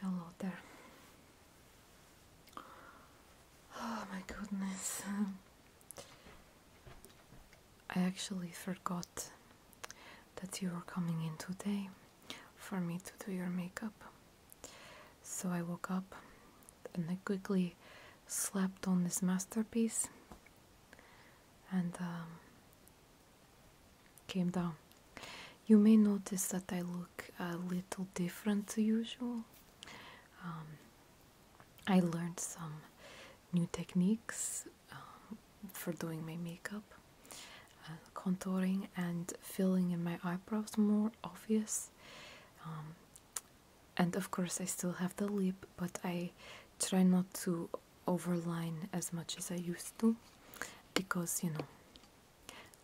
Hello there. Oh my goodness. I actually forgot that you were coming in today for me to do your makeup. So I woke up and I quickly slapped on this masterpiece and um, came down. You may notice that I look a little different to usual. Um, I learned some new techniques um, for doing my makeup, uh, contouring, and filling in my eyebrows more obvious and of course I still have the lip but I try not to overline as much as I used to because you know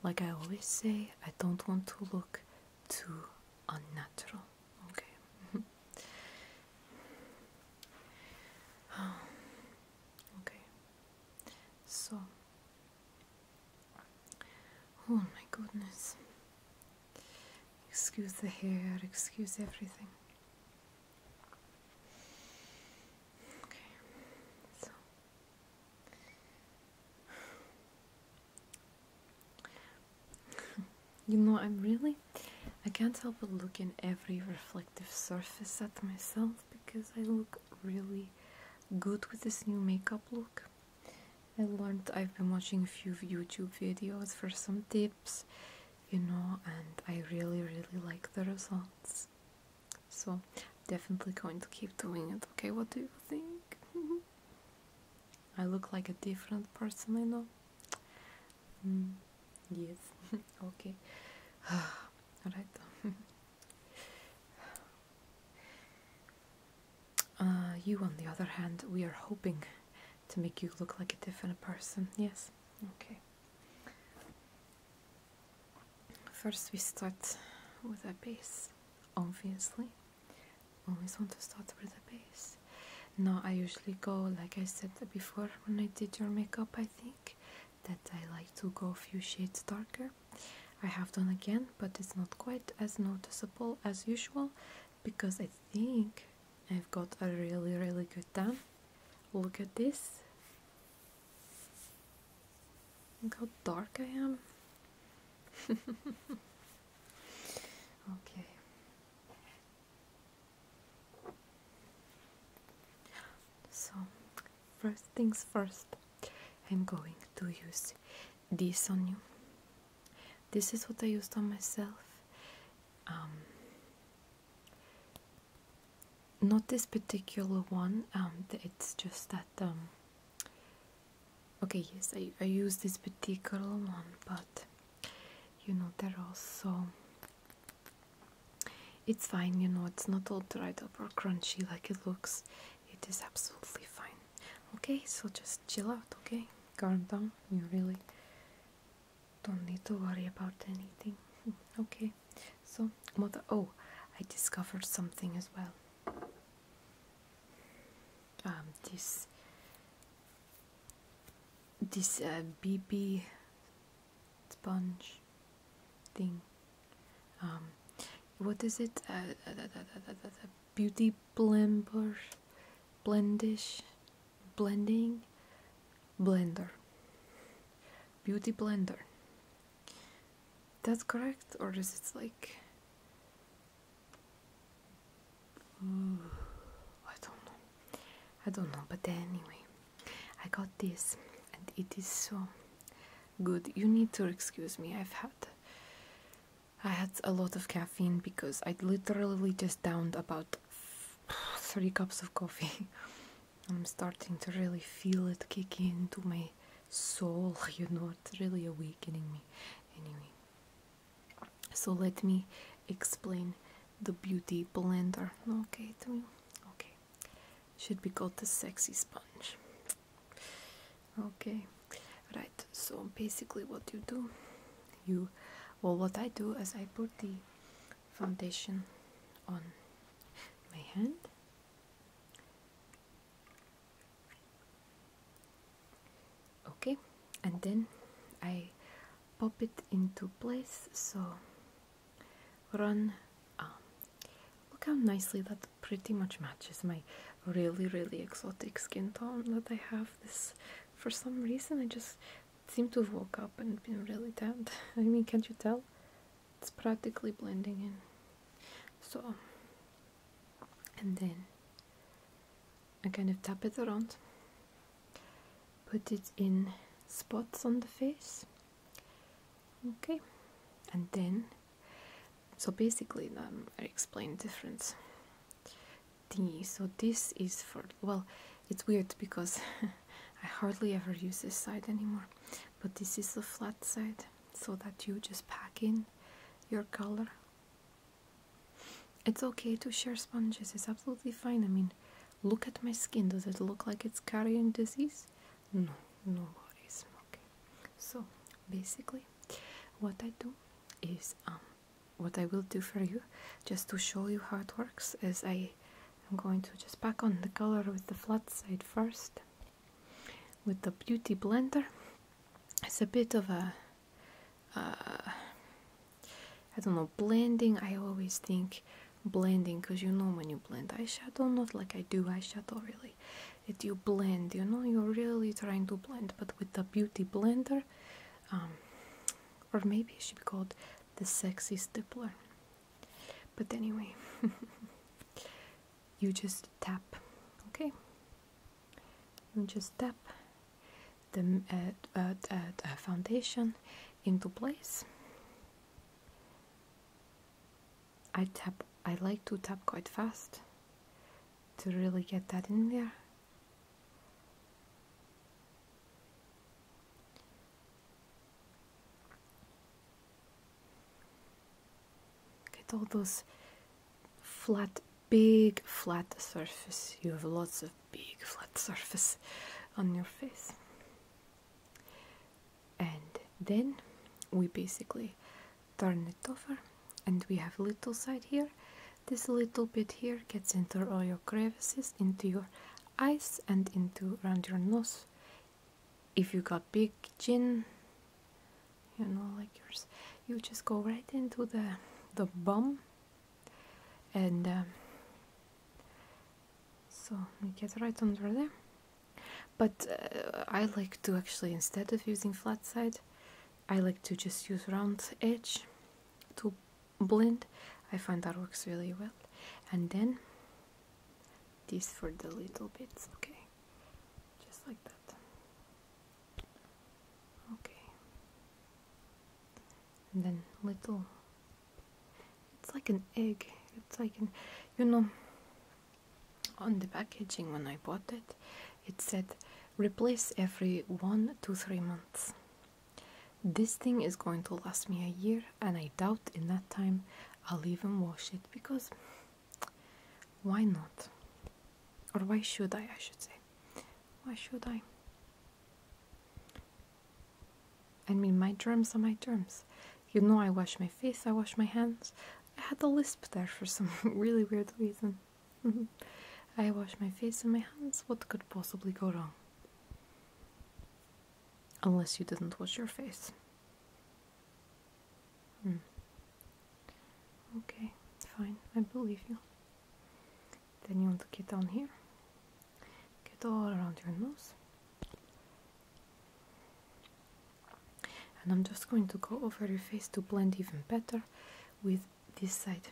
like I always say I don't want to look too unnatural okay okay so oh my goodness Excuse the hair, excuse everything. Okay, so you know, I'm really I can't help but look in every reflective surface at myself because I look really good with this new makeup look. I learned I've been watching a few YouTube videos for some tips you know, and I really, really like the results. So, definitely going to keep doing it. Okay, what do you think? I look like a different person, I know. Mm, yes, okay. Alright. Uh, you, on the other hand, we are hoping to make you look like a different person. Yes? Okay. First, we start with a base, obviously. Always want to start with a base. Now, I usually go, like I said before when I did your makeup, I think that I like to go a few shades darker. I have done again, but it's not quite as noticeable as usual because I think I've got a really really good tan. Look at this. Look how dark I am. okay. So, first things first, I'm going to use this on you. This is what I used on myself um, not this particular one um, it's just that um, okay yes I, I use this particular one but you know they're also it's fine you know it's not all dried up or crunchy like it looks it is absolutely fine okay so just chill out okay calm down you really don't need to worry about anything. okay, so mother. Oh, I discovered something as well. Um, this this uh, BB sponge thing. Um, what is it? Uh, uh, uh, uh beauty blender, blendish blending blender beauty blender that's correct or is it like I don't know I don't know but anyway I got this and it is so good you need to excuse me I've had I had a lot of caffeine because I literally just downed about three cups of coffee. I'm starting to really feel it kick into my soul, you know, it's really awakening me. Anyway, so let me explain the beauty blender, okay, to you. Okay, should be called the sexy sponge. Okay, right, so basically, what you do, you well what I do is I put the foundation on my hand okay and then I pop it into place so run um, look how nicely that pretty much matches my really really exotic skin tone that I have this for some reason I just seem to have woke up and been really tanned. I mean, can't you tell? It's practically blending in. So, and then I kind of tap it around, put it in spots on the face. Okay, and then so basically, um, I explain difference so this is for well, it's weird because I hardly ever use this side anymore. But this is the flat side, so that you just pack in your color. It's okay to share sponges. It's absolutely fine. I mean, look at my skin. Does it look like it's carrying disease? No, no worries. Okay. So basically, what I do is um what I will do for you just to show you how it works is I am going to just pack on the color with the flat side first with the beauty blender it's a bit of a don't know blending I always think blending because you know when you blend eyeshadow not like I do eyeshadow really it you blend you know you're really trying to blend but with the beauty blender um, or maybe it should be called the sexy stippler. But anyway, you just tap, okay? You just tap the, uh, uh, uh, the foundation into place. I tap. I like to tap quite fast to really get that in there. Get all those flat, big flat surface. You have lots of big flat surface on your face. And then we basically turn it over and we have little side here this little bit here gets into all your crevices, into your eyes, and into around your nose. If you got big chin, you know, like yours, you just go right into the the bum, and um, so you get right under there. But uh, I like to actually, instead of using flat side, I like to just use round edge to blend I find that works really well and then this for the little bits okay just like that okay and then little it's like an egg it's like an you know on the packaging when I bought it it said replace every one to three months. This thing is going to last me a year, and I doubt in that time I'll even wash it because why not? Or why should I? I should say, why should I? I mean, my germs are my germs. You know, I wash my face, I wash my hands. I had the lisp there for some really weird reason. Mm-hmm. I wash my face and my hands. What could possibly go wrong? Unless you didn't wash your face. Hmm. Okay, fine. I believe you. Then you want to get on here. Get all around your nose. And I'm just going to go over your face to blend even better with this side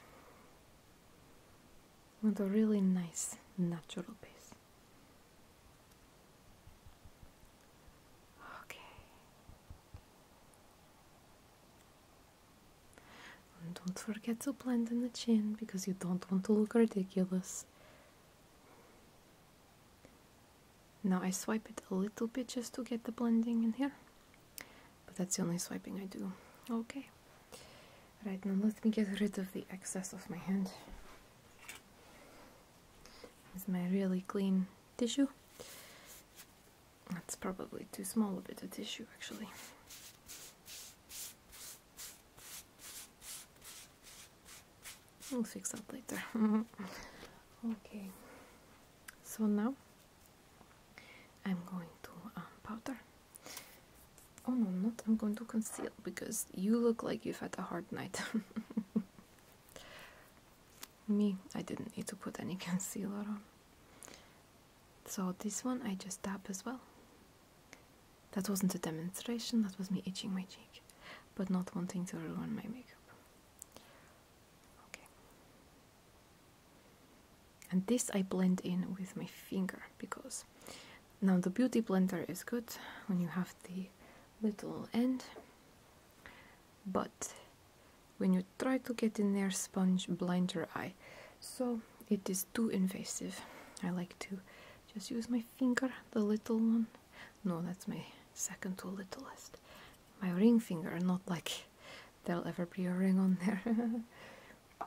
want a really nice natural base. Okay. don't forget to blend in the chin because you don't want to look ridiculous. Now I swipe it a little bit just to get the blending in here but that's the only swiping I do. Okay. Right now, let me get rid of the excess of my hand with my really clean tissue. That's probably too small a bit of tissue, actually. We'll fix that later. okay. So now I'm going to um, powder. Oh no, not I'm going to conceal because you look like you've had a hard night. Me, I didn't need to put any concealer on. So this one I just dab as well. That wasn't a demonstration, that was me itching my cheek, but not wanting to ruin my makeup. Okay and this I blend in with my finger because now the beauty blender is good when you have the little end but when you try to get in there sponge blind eye so it is too invasive I like to just use my finger the little one no that's my second to littlest my ring finger not like there'll ever be a ring on there.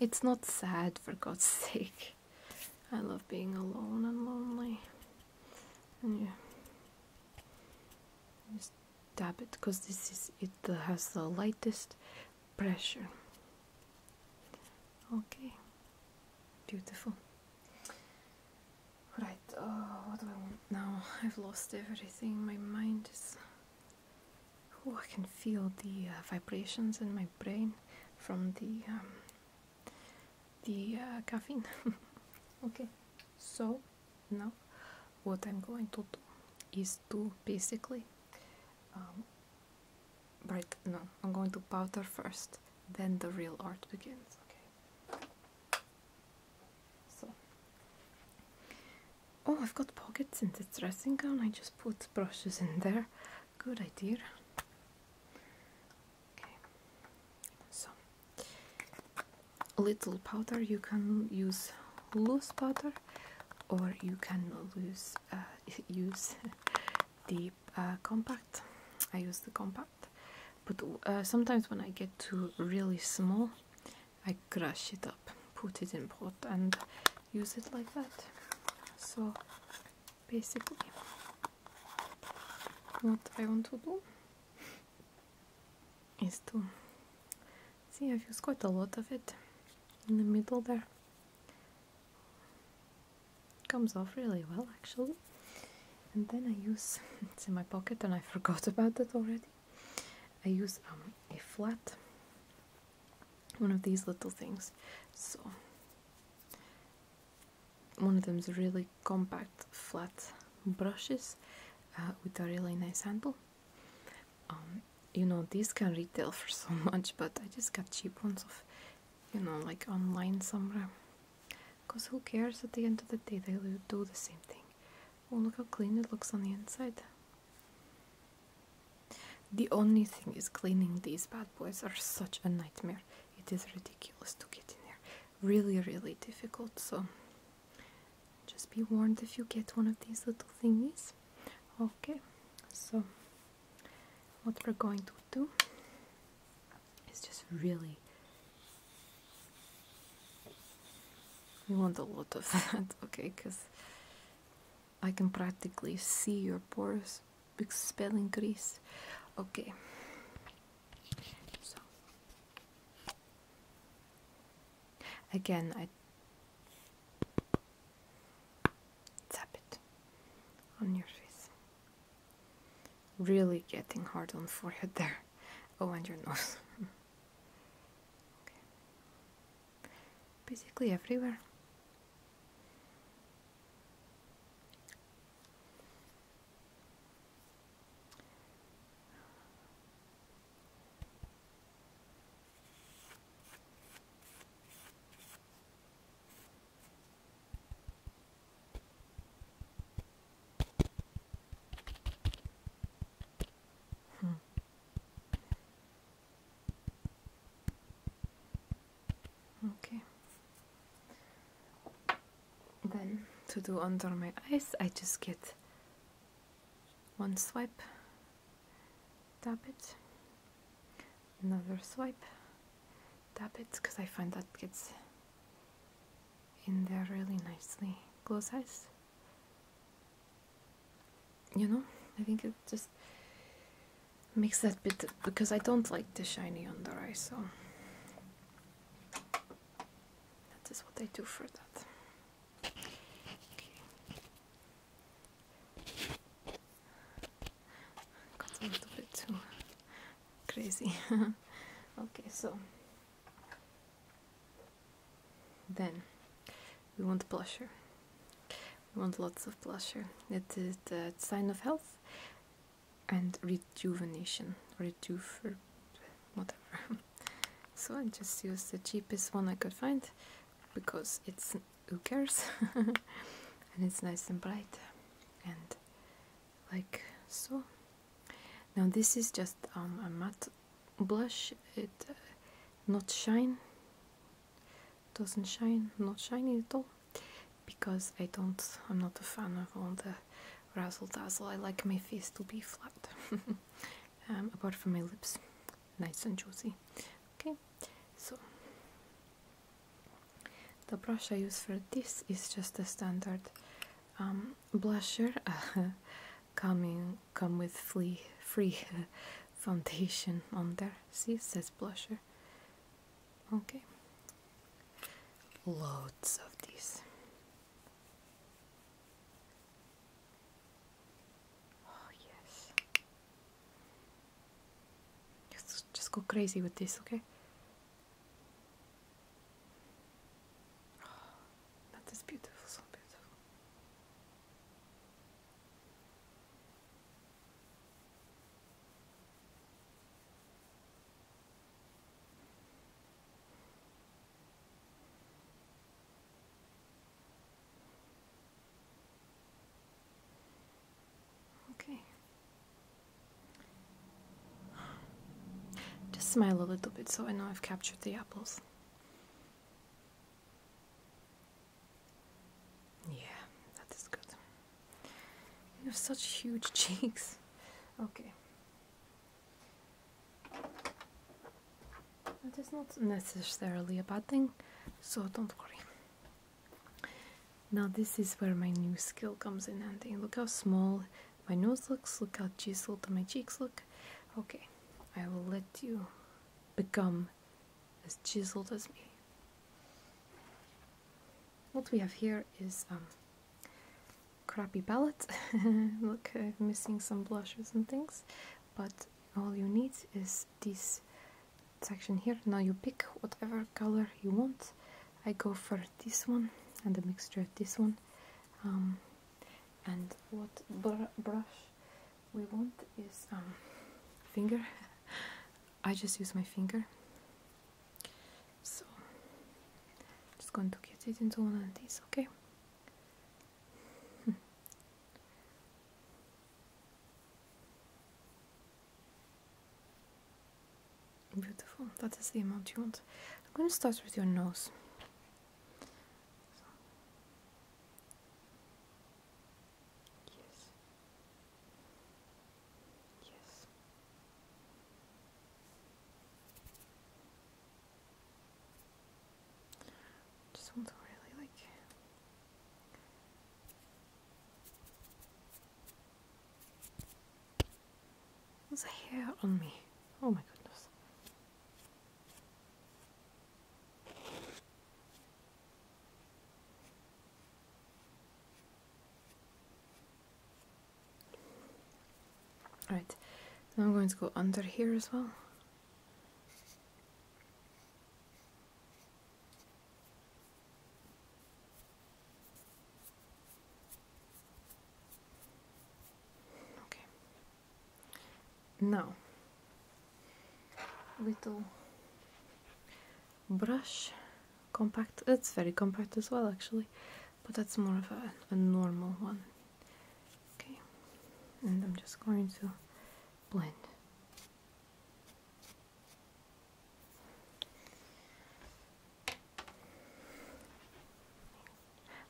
it's not sad, for God's sake. I love being alone and lonely. And you just dab it because this is it has the lightest pressure. Okay, beautiful. Right oh, what do I want now? I've lost everything. My mind is. Oh, I can feel the uh, vibrations in my brain from the um, the uh, caffeine. okay, so now what I'm going to do is to basically. Um, right, no, I'm going to powder first, then the real art begins. Okay oh, I've got pockets in the dressing gown. I just put brushes in there. Good idea. so little powder. You can use loose powder, or you can lose, uh, use the uh, compact. I use the compact, but uh, sometimes when I get to really small, I crush it up, put it in pot and use it like that. So basically what I want to do is to see I've used quite a lot of it in the middle there comes off really well actually and then I use it's in my pocket and I forgot about that already I use um, a flat, one of these little things. So one of them is really compact flat brushes uh, with a really nice handle. Um, you know these can retail for so much, but I just got cheap ones of, you know, like online somewhere. Cause who cares? At the end of the day, they do the same thing. Oh, look how clean it looks on the inside. The only thing is cleaning these bad boys are such a nightmare. It is ridiculous to get in there. Really, really difficult, so just be warned if you get one of these little thingies. Okay, so what we're going to do is just really you want a lot of that, okay, because I can practically see your pores expelling grease. Okay. So again I tap it on your face. Really getting hard on forehead there. Oh and your nose. Basically everywhere. Hmm. Okay. Then to do under my eyes, I just get one swipe, dab it, another swipe, dab it, because I find that gets in there really nicely. Close eyes you know i think it just makes that bit because i don't like the shiny under eye so that is what i do for that okay. got a little bit too crazy okay so then we want blusher. We want lots of blusher. It is a sign of health and rejuvenation, rejuver, whatever. so I just used the cheapest one I could find because it's who cares and it's nice and bright and like so now this is just um, a matte blush. It uh, not shine. Doesn't shine. Not shiny at all. Because I don't. I'm not a fan of all the razzle dazzle. I like my face to be flat. Um, apart from my lips, nice and juicy. Okay, so. The brush I use for this is just a standard um, blusher. coming come with free, free foundation on there. See, it says blusher. Okay, loads of these. Oh yes. just go crazy with this, okay? that is beautiful, so beautiful. Okay. Just smile a little bit so I know I've captured the apples. Yeah, that is good. You have such huge cheeks. Okay. That is not necessarily a bad thing, so don't worry. Now, this is where my new skill comes in handy. Look how small my nose looks, look how chiseled my cheeks look. Okay, I will let you become as chiseled as me. What we have here is um, crappy palette. look, I'm uh, missing some blushes and things, but all you need is this section here. Now you pick whatever color you want. I go for this one and the mixture of this one. Um, and what brush we want is um, finger I just use my finger so just going to get it into one of these okay Beautiful, that is the amount you want. I'm going to start with your nose. So. Yes. Yes. Just want really like there's a hair on me. Oh my goodness. Alright, now I'm going to go under here as well. Now, little brush, compact. It's very compact as well, actually, but that's more of a, a normal one. Okay, and I'm just going to blend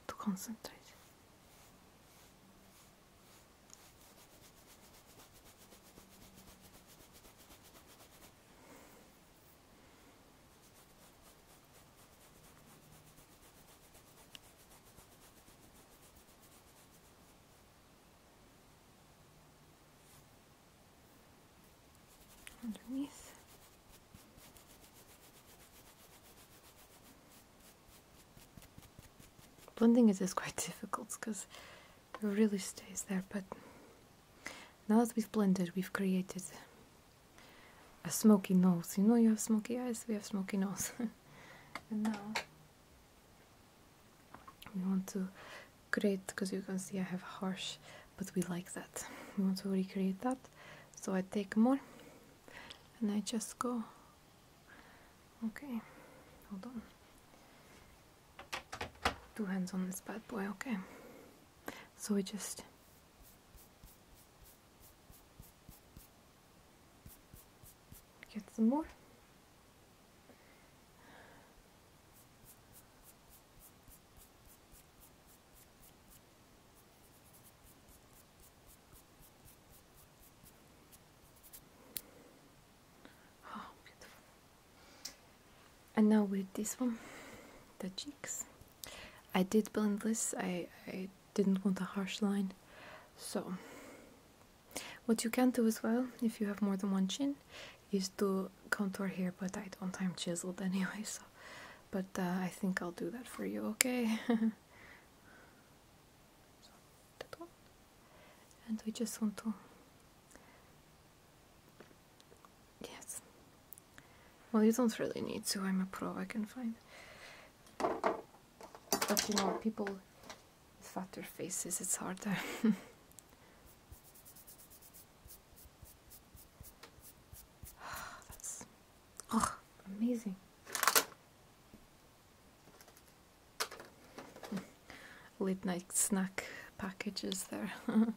to concentrate. Underneath Blending is quite difficult because it really stays there, but now that we've blended, we've created a smoky nose. You know you have smoky eyes, we have smoky nose. and now we want to create, because you can see I have harsh, but we like that. We want to recreate that so I take more and I just go okay hold on two hands on this bad boy okay so we just get some more Oh, and now with this one, the cheeks. I did blend this, I, I didn't want a harsh line. So, what you can do as well, if you have more than one chin, is to contour here, but I don't, I'm chiseled anyway, so but uh, I think I'll do that for you, okay? And we just want to. Yes. Well, you don't really need to. I'm a pro, I can find. But you know, people with fatter faces, it's harder. Ah, Oh, amazing. Late night snack packages there.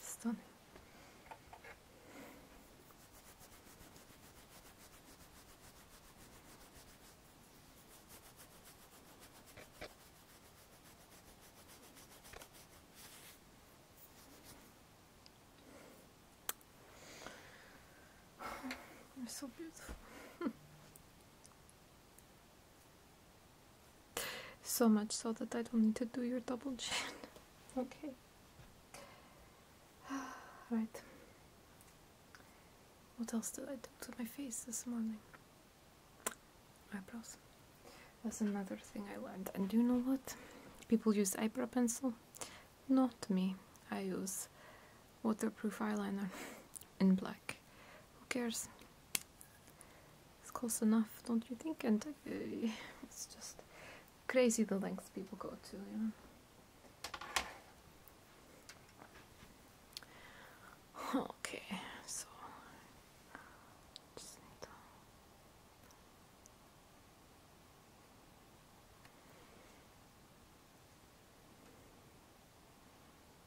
Stunning. You're so beautiful. So much so that I don't need to do your double chin. okay. Alright. What else did I do to my face this morning? Eyebrows. That's another thing I learned. And do you know what? People use eyebrow pencil. Not me. I use waterproof eyeliner in black. Who cares? It's close enough, don't you think? And uh, it's just crazy the lengths people go to, you know. Okay, so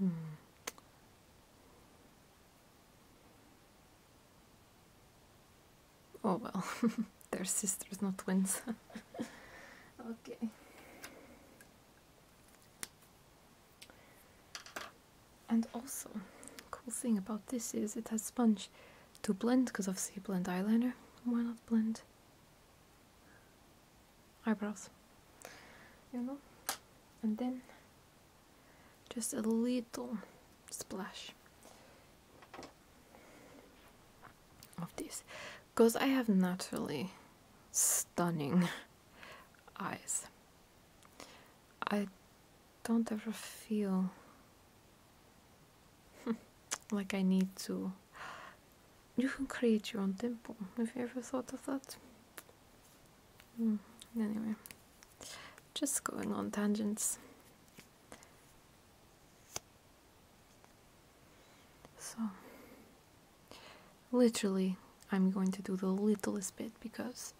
Hmm. Oh well, they're sisters, not twins. okay. And also, cool thing about this is it has sponge to blend, because obviously blend eyeliner. Why not blend eyebrows? You know? And then just a little splash of this. Because I have naturally stunning eyes. I don't ever feel like I need to. You can create your own tempo. Have you ever thought of that? Hmm, anyway, just going on tangents. So, literally, I'm going to do the littlest bit because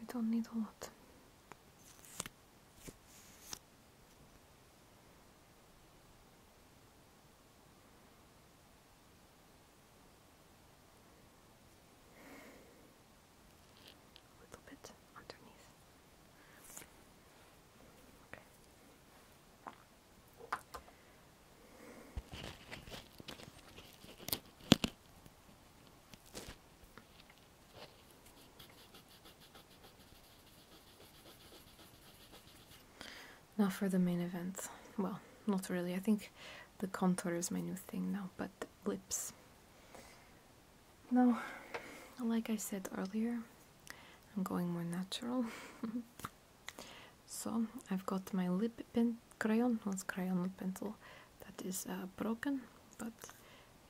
we don't need a lot. little bit underneath. Okay. Now for the main event. Well, not really. I think the contour is my new thing now, but lips. No, like I said earlier, I'm going more natural. So I've got my lip pen crayon, well it's crayon lip pencil, that is uh, broken, but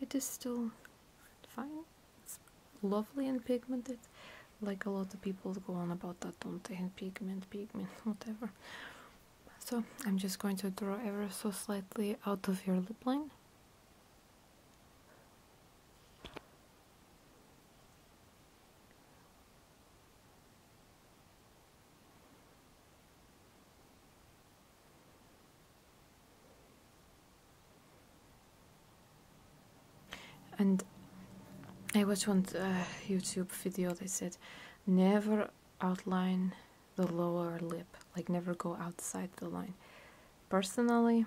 it is still fine. It's lovely and pigmented, like a lot of people go on about that, don't they? pigment, pigment, whatever. So I'm just going to draw ever so slightly out of your lip line. And I watched one uh, YouTube video that said, never outline the lower lip, like never go outside the line. Personally,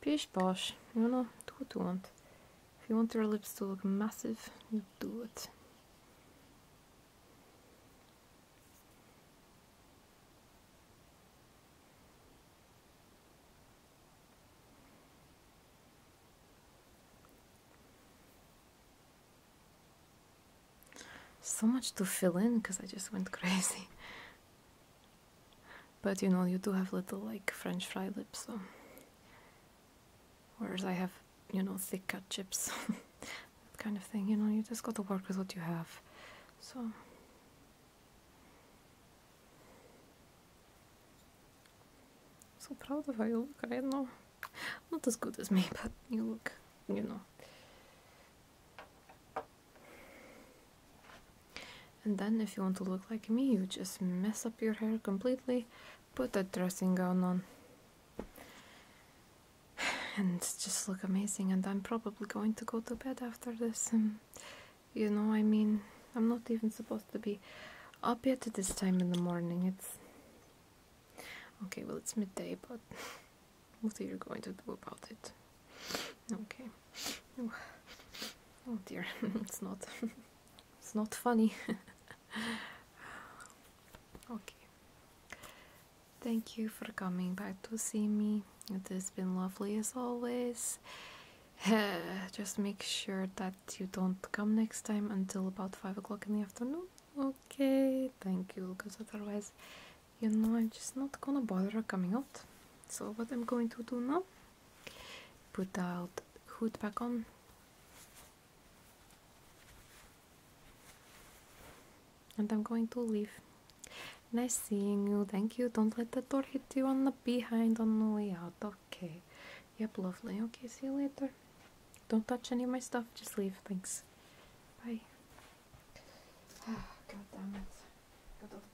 Pish posh, you know, do what you want. If you want your lips to look massive, you do it. So much to fill in because I just went crazy. But you know, you do have little like French fry lips, so. Whereas I have, you know, thick cut chips, kind of thing. You know, you just got to work with what you have. So. So proud of how you look. I don't know, not as good as me, but you look, you know. And then if you want to look like me, you just mess up your hair completely, put that dressing gown on, and just look amazing. And I'm probably going to go to bed after this. Um, you know, I mean, I'm not even supposed to be up yet at this time in the morning. It's okay, well, it's midday, but what are you going to do about it? Okay. Oh dear, it's not. It's not funny. okay. Thank you for coming back to see me. It has been lovely as always. Just make sure that you don't come next time until about 5 o'clock in the afternoon. Okay, thank you, because otherwise, you know, I'm just not gonna bother coming out. So, what I'm going to do now Put out, old hood back on. And I'm going to leave. Nice seeing you. Thank you. Don't let the door hit you on the behind on the way out. Okay. Yep, lovely. Okay, see you later. Don't touch any of my stuff. Just leave. Thanks. Bye. God damn it.